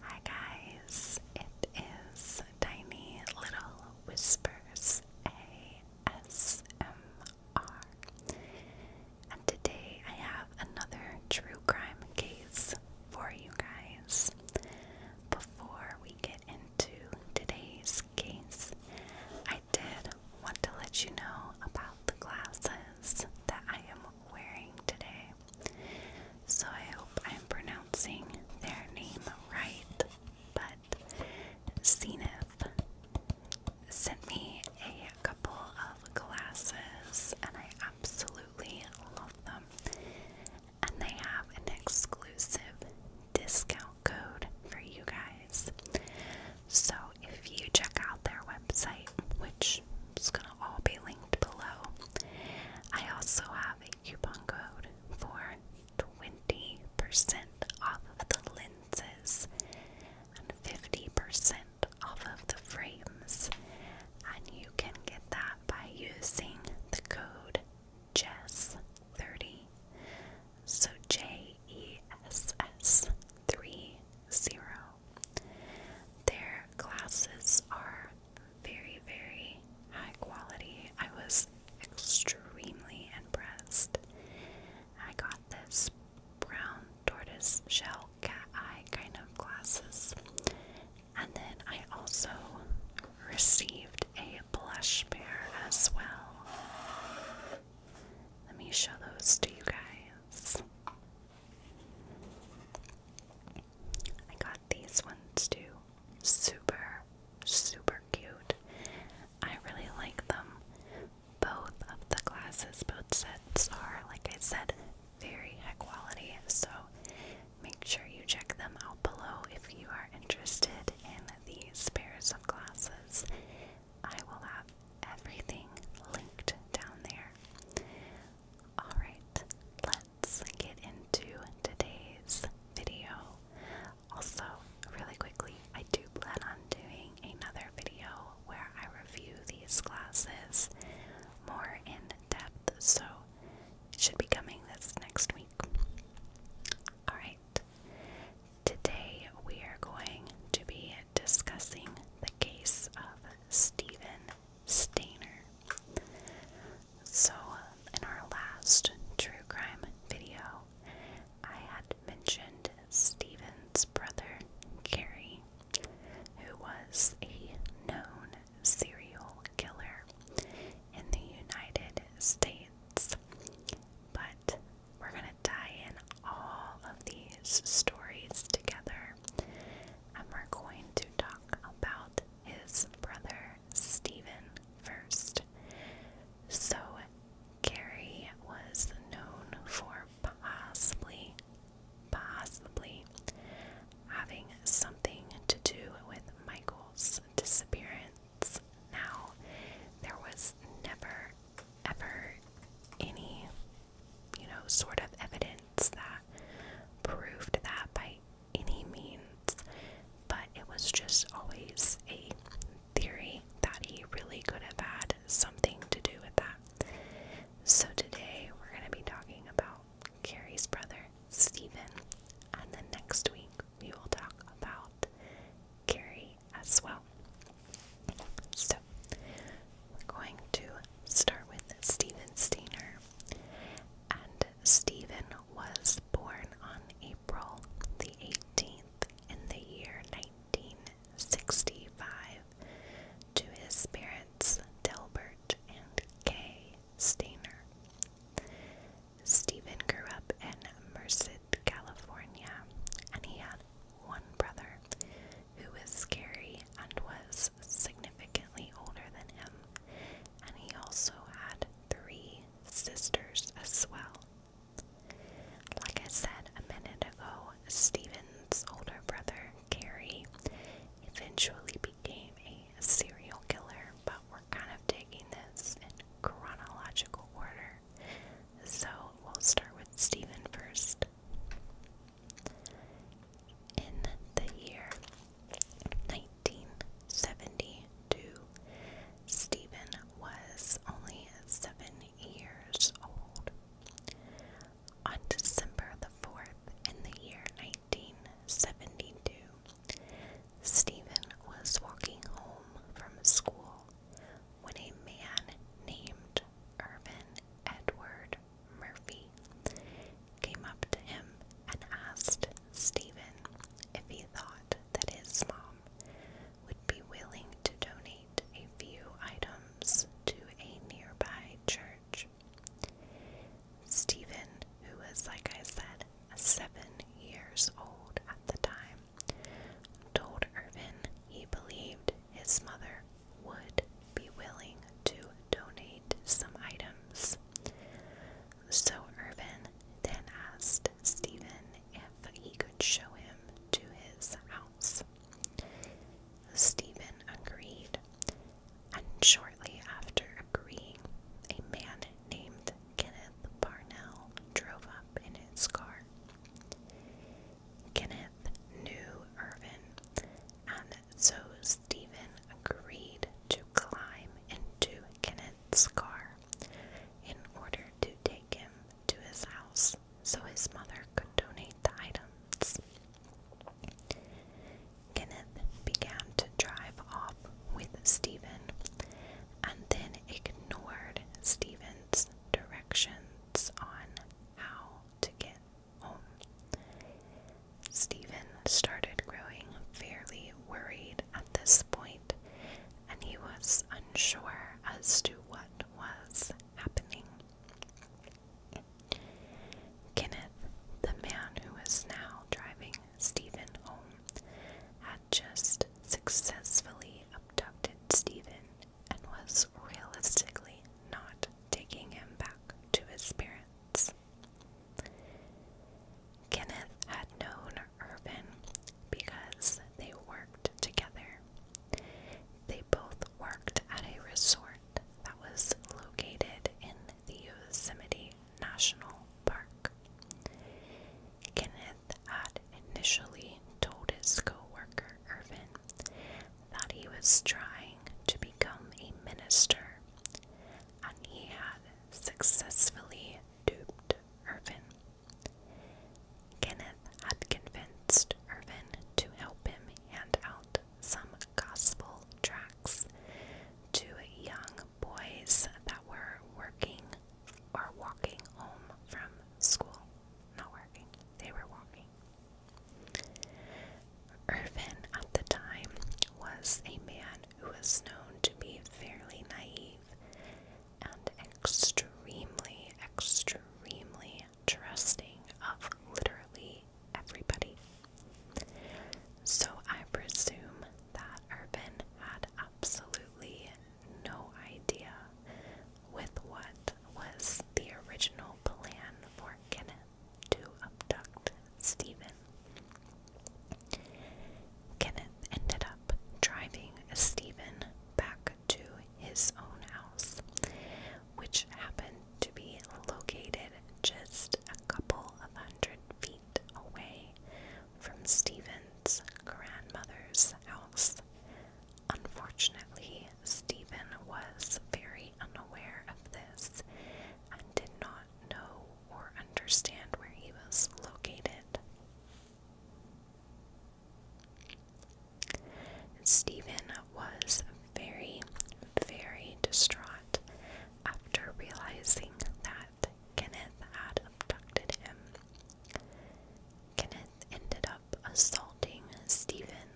Hi guys, it is Tiny Little Whispers ASMR. And today I have another true crime case for you guys. Before we get into today's case, I did want to let you know about the glasses that I am wearing today. So I hope I'm pronouncing their name right. But Zenith sent me a couple of glasses, and I absolutely love them. And they have an exclusive discount code for you guys. So if you check out their website, which it's going to all be linked below. I also have a coupon code for 20% off of the lenses and 50% off of the frames. And you can get that by using the code JESS30. So J E S S 30. Their glasses are very, very high quality. I was extremely impressed. I got this brown tortoise shell cat eye kind of glasses. And then I also received a blush pair as well. Let me show those to you guys. I got these ones too. Super, super cute. I really like them. Both of the glasses, both sets are, like I said, very high quality. So make sure you check them out below if you are interested in these pairs of glasses. I will have everything linked down there. Alright, let's get into today's video. Also, really quickly, I do plan on doing another video where I review these glasses more in depth, so it should be coming this next week. Alright, today we are going to be discussing the case of Stephen Stainer. So, in our last true crime video, I had mentioned Stephen's brother, Gary, who was a known serial killer in the United States. But we're going to tie in all of these stories together and we're going to talk about his brother Stephen first. So, Gary was known for possibly, possibly having something to do with Michael's disappearance. Now, there was never, ever any you know, sort of evidence that proved that by any means, but it was just always a theory that he really could have had something to do with that. So today we're going to be talking about Carrie's brother, Stephen, and then next week we will talk about Carrie as well. So, we're going to start with Steven Steiner. And Stephen was born on April the 18th in the year 1965 to his parents Delbert and Kay Steiner. Stephen grew up in Merced, California, and he had one brother, who was scary and was significantly older than him, and he also had three sisters as well. Like I said a minute ago, Stephen's older brother, Gary, eventually became a serial killer, but we're kind of taking this in chronological order. So we'll start with Stephen first. In the year 1972, Stephen was only seven years old. On December the 4th, in the year 1972, Stephen was walking home from school when a man named Irvin Edward Murphy, came up to him and asked Stephen if he thought that his mom would be willing to donate a few items to a nearby church. Stephen, who was, like I said, seven years old at the time, told Irvin he believed his mother would be willing to donate some items. So Irvin then asked Stephen if he could show him to his house. Stephen agreed, and shortly after agreeing, a man named Kenneth Parnell drove up in his car. Kenneth knew Irvin and so Stephen agreed to climb into Kenneth's car in order to take him to his house so his mother could donate the items. Kenneth began to drive off with Stephen and then ignored Stephen's directions on how to get Stephen started growing fairly worried at this point, and he was unsure as to what was happening. Kenneth, the man who was now driving Stephen home, had just successfully abducted Stephen and was realistically not taking him back to his parents. Kenneth had known Irvin because they worked together. They both worked at a resort that was located in the Yosemite National Park. Kenneth had initially told his coworker worker Irvin that he was trying to become a minister, and he had successfully duped Irvin. Kenneth had convinced Irvin to help him hand out some gospel tracts to young boys that were working or walking home from school. Not working, they were walking. Irvin at the time was a man who was known to be fairly naive and extremely, extremely trusting of literally everybody. So I presume that Urban had absolutely no idea with what was the original plan for Kenneth to abduct Stephen. Kenneth ended up driving Stephen back to his own house, which happened to be located just a couple of hundred feet away from Stephen's grandmother's house. Unfortunately, Stephen was very unaware of this and did not know or understand where he was located. Stephen was very, very distraught after realizing that Kenneth had abducted him. Kenneth ended up assaulting Stephen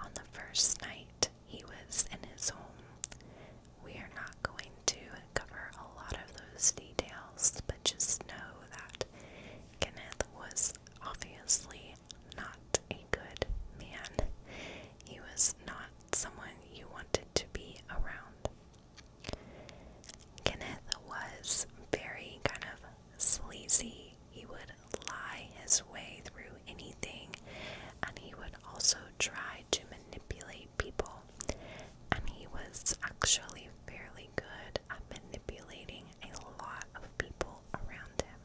on the first night he was in his home. We are not going to cover a lot of those details, but just know that Kenneth was obviously not a good man. He was not someone you wanted to be around. Kenneth was very kind of sleazy. He would lie his way through anything, and he would also try to manipulate people. And he was actually fairly good at manipulating a lot of people around him.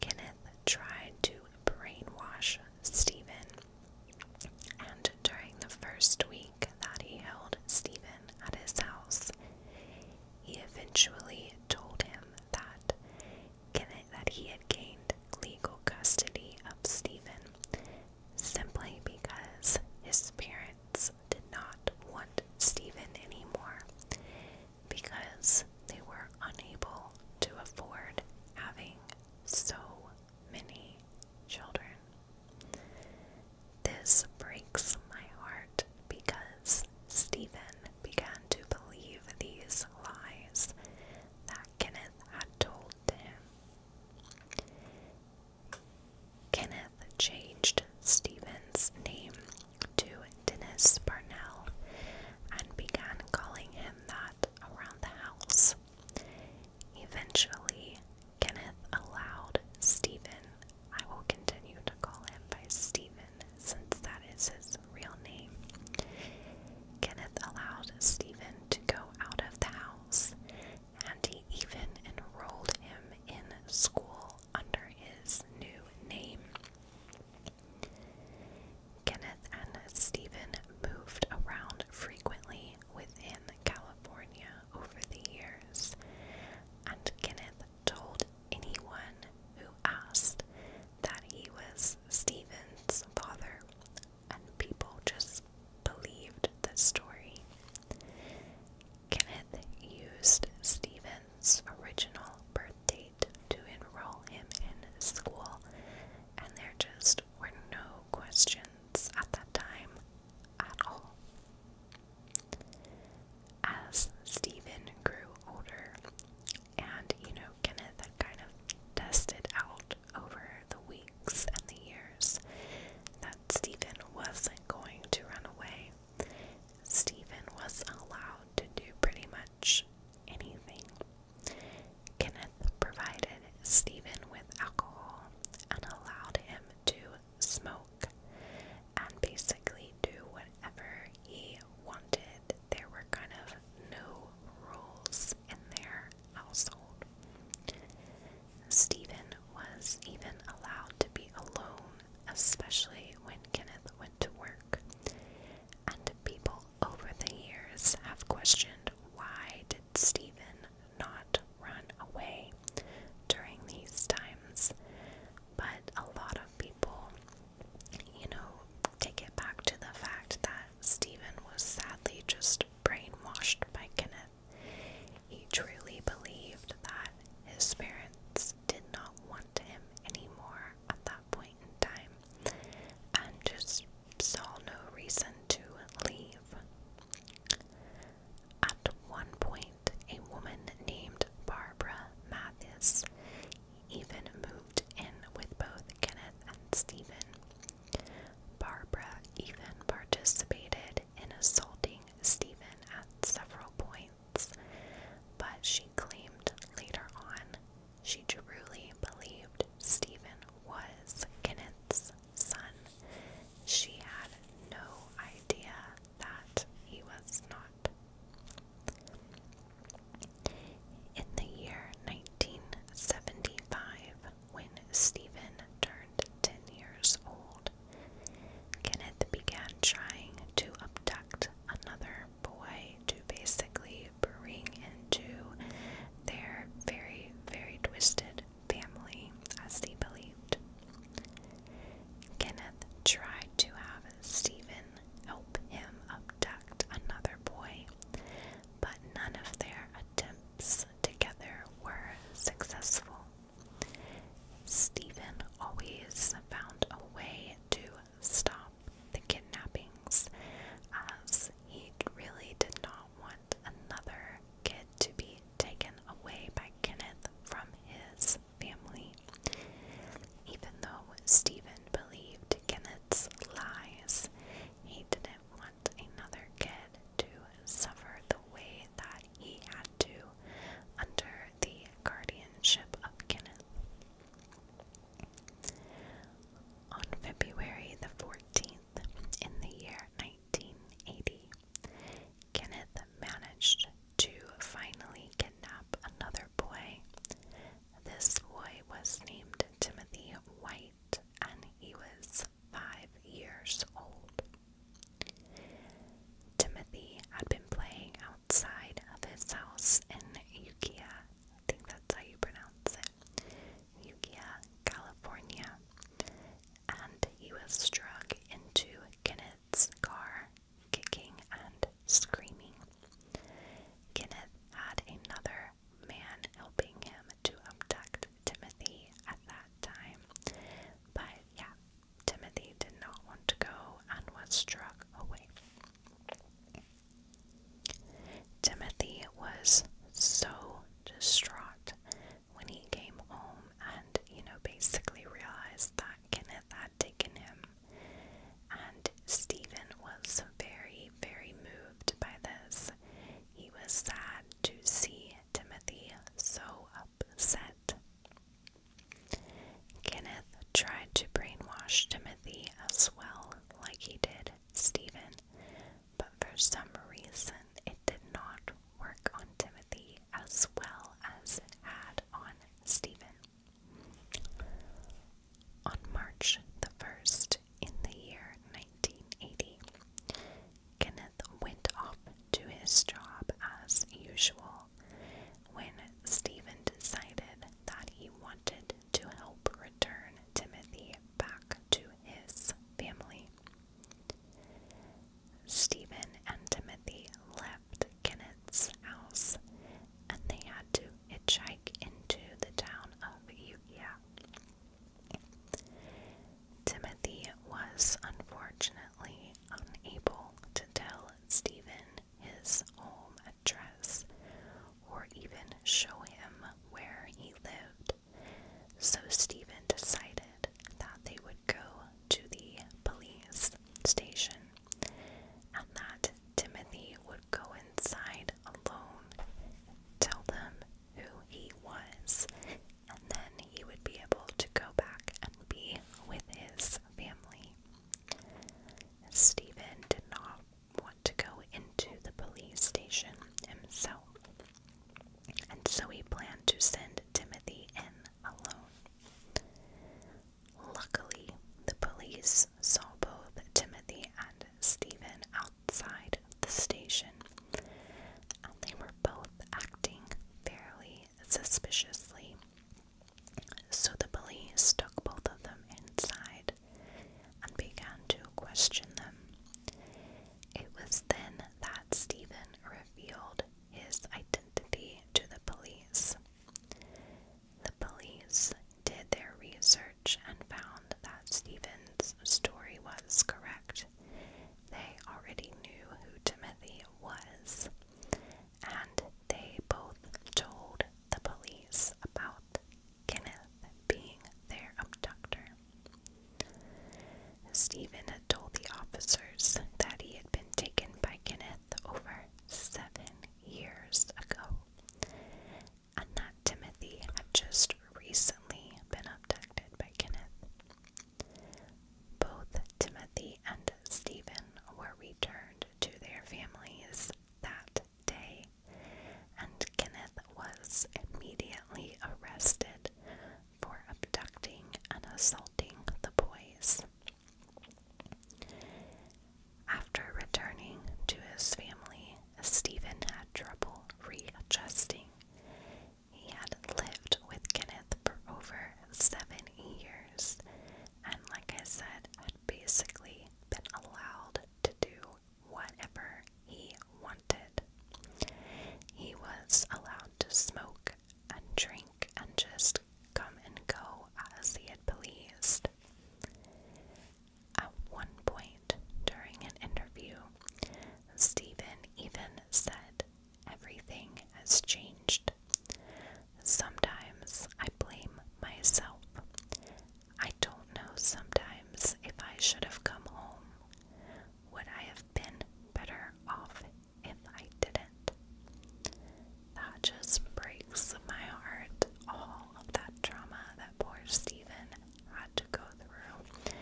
Kenneth tried to brainwash Stephen, and during the first week that he held Stephen at his house, he eventually told him that that he had gained legal custody of Stephen simply because his parents did not want Stephen anymore because they were unable to afford having so many children. This breaks my heart because Stephen began to believe these lies that Kenneth had told to him. Kenneth changed Stephen's name to Dennis Parnell and began calling him that around the house. Eventually, Kenneth allowed Stephen, I will continue to call him by Stephen, since that is his real name. Kenneth allowed Stephen to go out of the house, and he even enrolled him in school under his new name. Kenneth and Stephen moved around frequently within California over the years, and Kenneth told anyone who asked that he was Stephen's father, and people just believed the story. Kenneth used Stephen's original birth date to enroll him in school, and there just were no questions at that time at all. As Stephen grew older, and you know Kenneth had kind of tested out over the weeks and the years that Stephen wasn't going to run away. Stephen was allowed to do pretty much anything. Kenneth provided Stephen with alcohol and allowed him to smoke and basically do whatever he wanted there were kind of no rules in their household. Stephen was even allowed to be alone, especially when Kenneth went to work. And people over the years have questioned why did Stephen not run away during these times? But a lot of people you know, take it back to the fact that Stephen was sadly just brainwashed by Kenneth. He truly believed that his parents did not want him anymore at that point in time and just saw no reason to leave. At one point, a woman named Barbara Mathis even moved in with both Kenneth and Stephen. Barbara even participated in assaulting Stephen at several points, but she claimed later on she truly believed Stephen was Kenneth's son. She had no idea that he was not. In the year 1975, when Stephen turned 10 years old, Kenneth began trying to abduct another boy to basically bring into their very, very twisted family, as he believed. Kenneth tried to have Stephen help him abduct another boy, but none of their attempts together were successful. Stephen always found a way to stop the kidnappings as he really did not want another kid to be taken away by Kenneth from his family. Even though Stephen believed Kenneth's lies, he didn't want another kid to suffer the way that he had to under the guardianship of Kenneth. On February the 14th, in the year 1980, Kenneth managed to finally kidnap another boy this boy was named Timothy White and he was five years old. Timothy had been playing outside of his house in Ukiah, I think that's how you pronounce it, Ukiah, California, and he was struck into Kenneth's car, kicking and screaming. Kenneth had another man helping him to abduct Timothy at that time. But yeah, Timothy did not want to go and was struck away. Timothy was so distraught when he came home and, you know, basically realized that Kenneth had taken him. And Stephen was very, very moved by this. He was sad to see Timothy so upset. Kenneth tried to brainwash Timothy as well, like he did Stephen, but for some reason it did not work on Timothy as well as it had on Stephen. On March the 1st in the year 1980, Kenneth went off to his job as usual when Stephen decided that he wanted to help return Timothy back to his family. Stephen and Timothy left Kenneth's house and they had to hike into the town of Ukiah. Timothy was unfortunately unable to tell Stephen his home address or even show him where he lived, so Stephen decided that they would go to the police station, and that Timothy would go inside alone, tell them who he was, and then he would be able to go back and be with his family. Stephen did not want to go into the police station himself, and so he planned to send Timothy in alone. Luckily, the police saw both Timothy and Stephen outside the station, and they were both acting fairly suspiciously. So the police took both of them inside and began to question them. It was then that Stephen revealed his identity to the police. The police did their research and found that Stephen's story was correct. They already knew who Timothy was, and they both told the police about Kenneth being their abductor. Stephen had told the officers that he had been taken by Kenneth over seven years ago and that Timothy had just recently been abducted by Kenneth. Both Timothy and Stephen were returned to their families that day, and Kenneth was immediately arrested for abducting and assaulting the boys. After returning to his family, Stephen had trouble readjusting. He had lived with Kenneth for over seven years, and like I said, had basically been allowed to do whatever he wanted. He was allowed to smoke and drink and just come and go as he had pleased. At one point during an interview, Stephen even said, Everything has changed. Sometimes I blame myself. I don't know sometimes if I should have come home. Would I have been better off if I didn't? That just breaks my heart all that trauma that poor Stephen had to go through,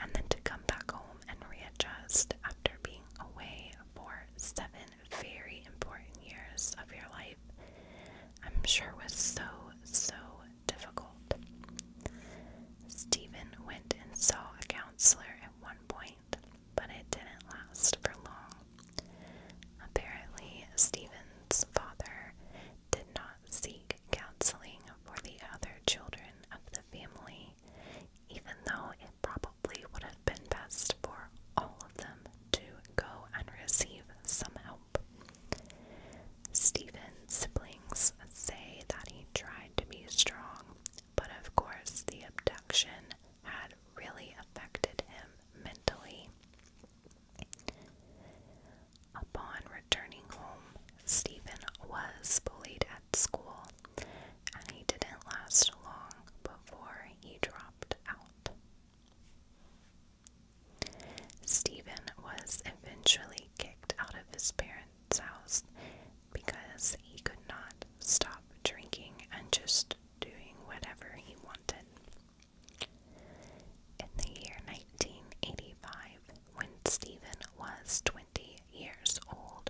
and then to come back home and readjust after being away for seven very important years of your life, I'm sure was so, so difficult. Stephen went and saw a counselor at one point, but it didn't last for long. Apparently, Stephen's father did not seek counseling for the other children of the family, even though it probably would have been best for all of them to go and receive some help. Stephen's siblings say that he tried to be strong, but of course, the abduction had really affected him mentally. Upon returning home, Stephen was bullied at school, and he didn't last long before he dropped out. Stephen was eventually kicked out of his parents' house because he could not stop drinking and just doing whatever he wanted. In the year 1985, when Stephen was 20 years old,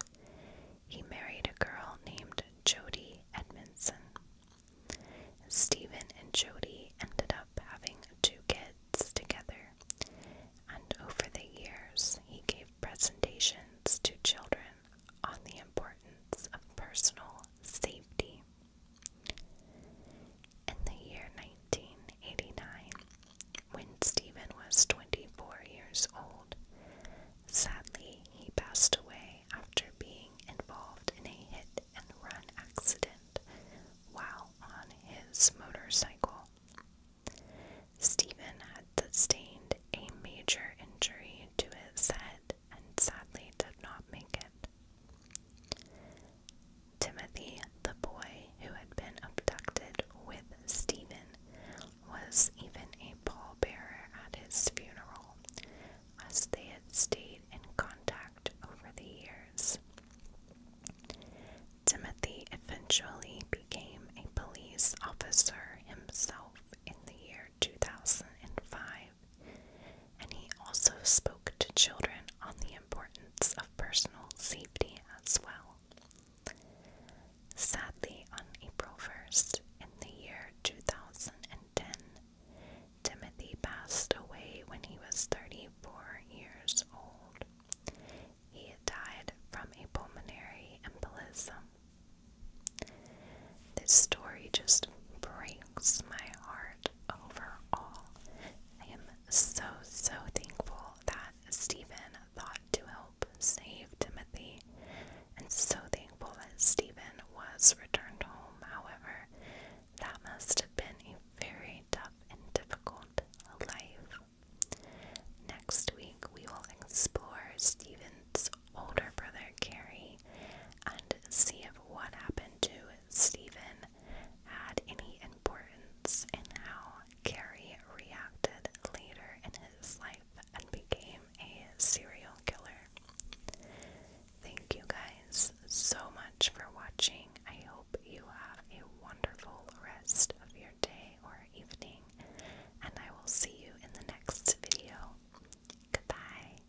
he married a girl named Jody Edmondson. Stephen and Jody ended up having two kids together, and over the years, he gave presentations to children on the importance of personal safety. In the year 1989, when Stephen was 24 years old, sadly he passed away after being involved in a hit and run accident while on his motorcycle. Stephen had sustained a major injury to his head and sadly did not make it. Timothy, the boy who had been abducted with Stephen, was even a pallbearer at his funeral, as they had stayed in contact over the years. Timothy eventually became a police officer himself in the year 2005 and he also spoke to children on the importance of personal safety as well. Sadly, on April 1st, in the year 2010, Timothy passed away when he was 34 years old. He died from a pulmonary embolism. This story just breaks my heart overall. I am so, so thankful that Stephen thought to help save Timothy, and so thankful that Stephen was returned home. However, that must have been a very tough and difficult life. Next week, we will explore Stephen's older brother, Carrie, and see if what happened to Stephen had any importance in how Carrie reacted later in his life and became a serial killer. Thank you guys so much for watching. I hope you have a wonderful rest of your day or evening, and I will see you in the next video. Goodbye.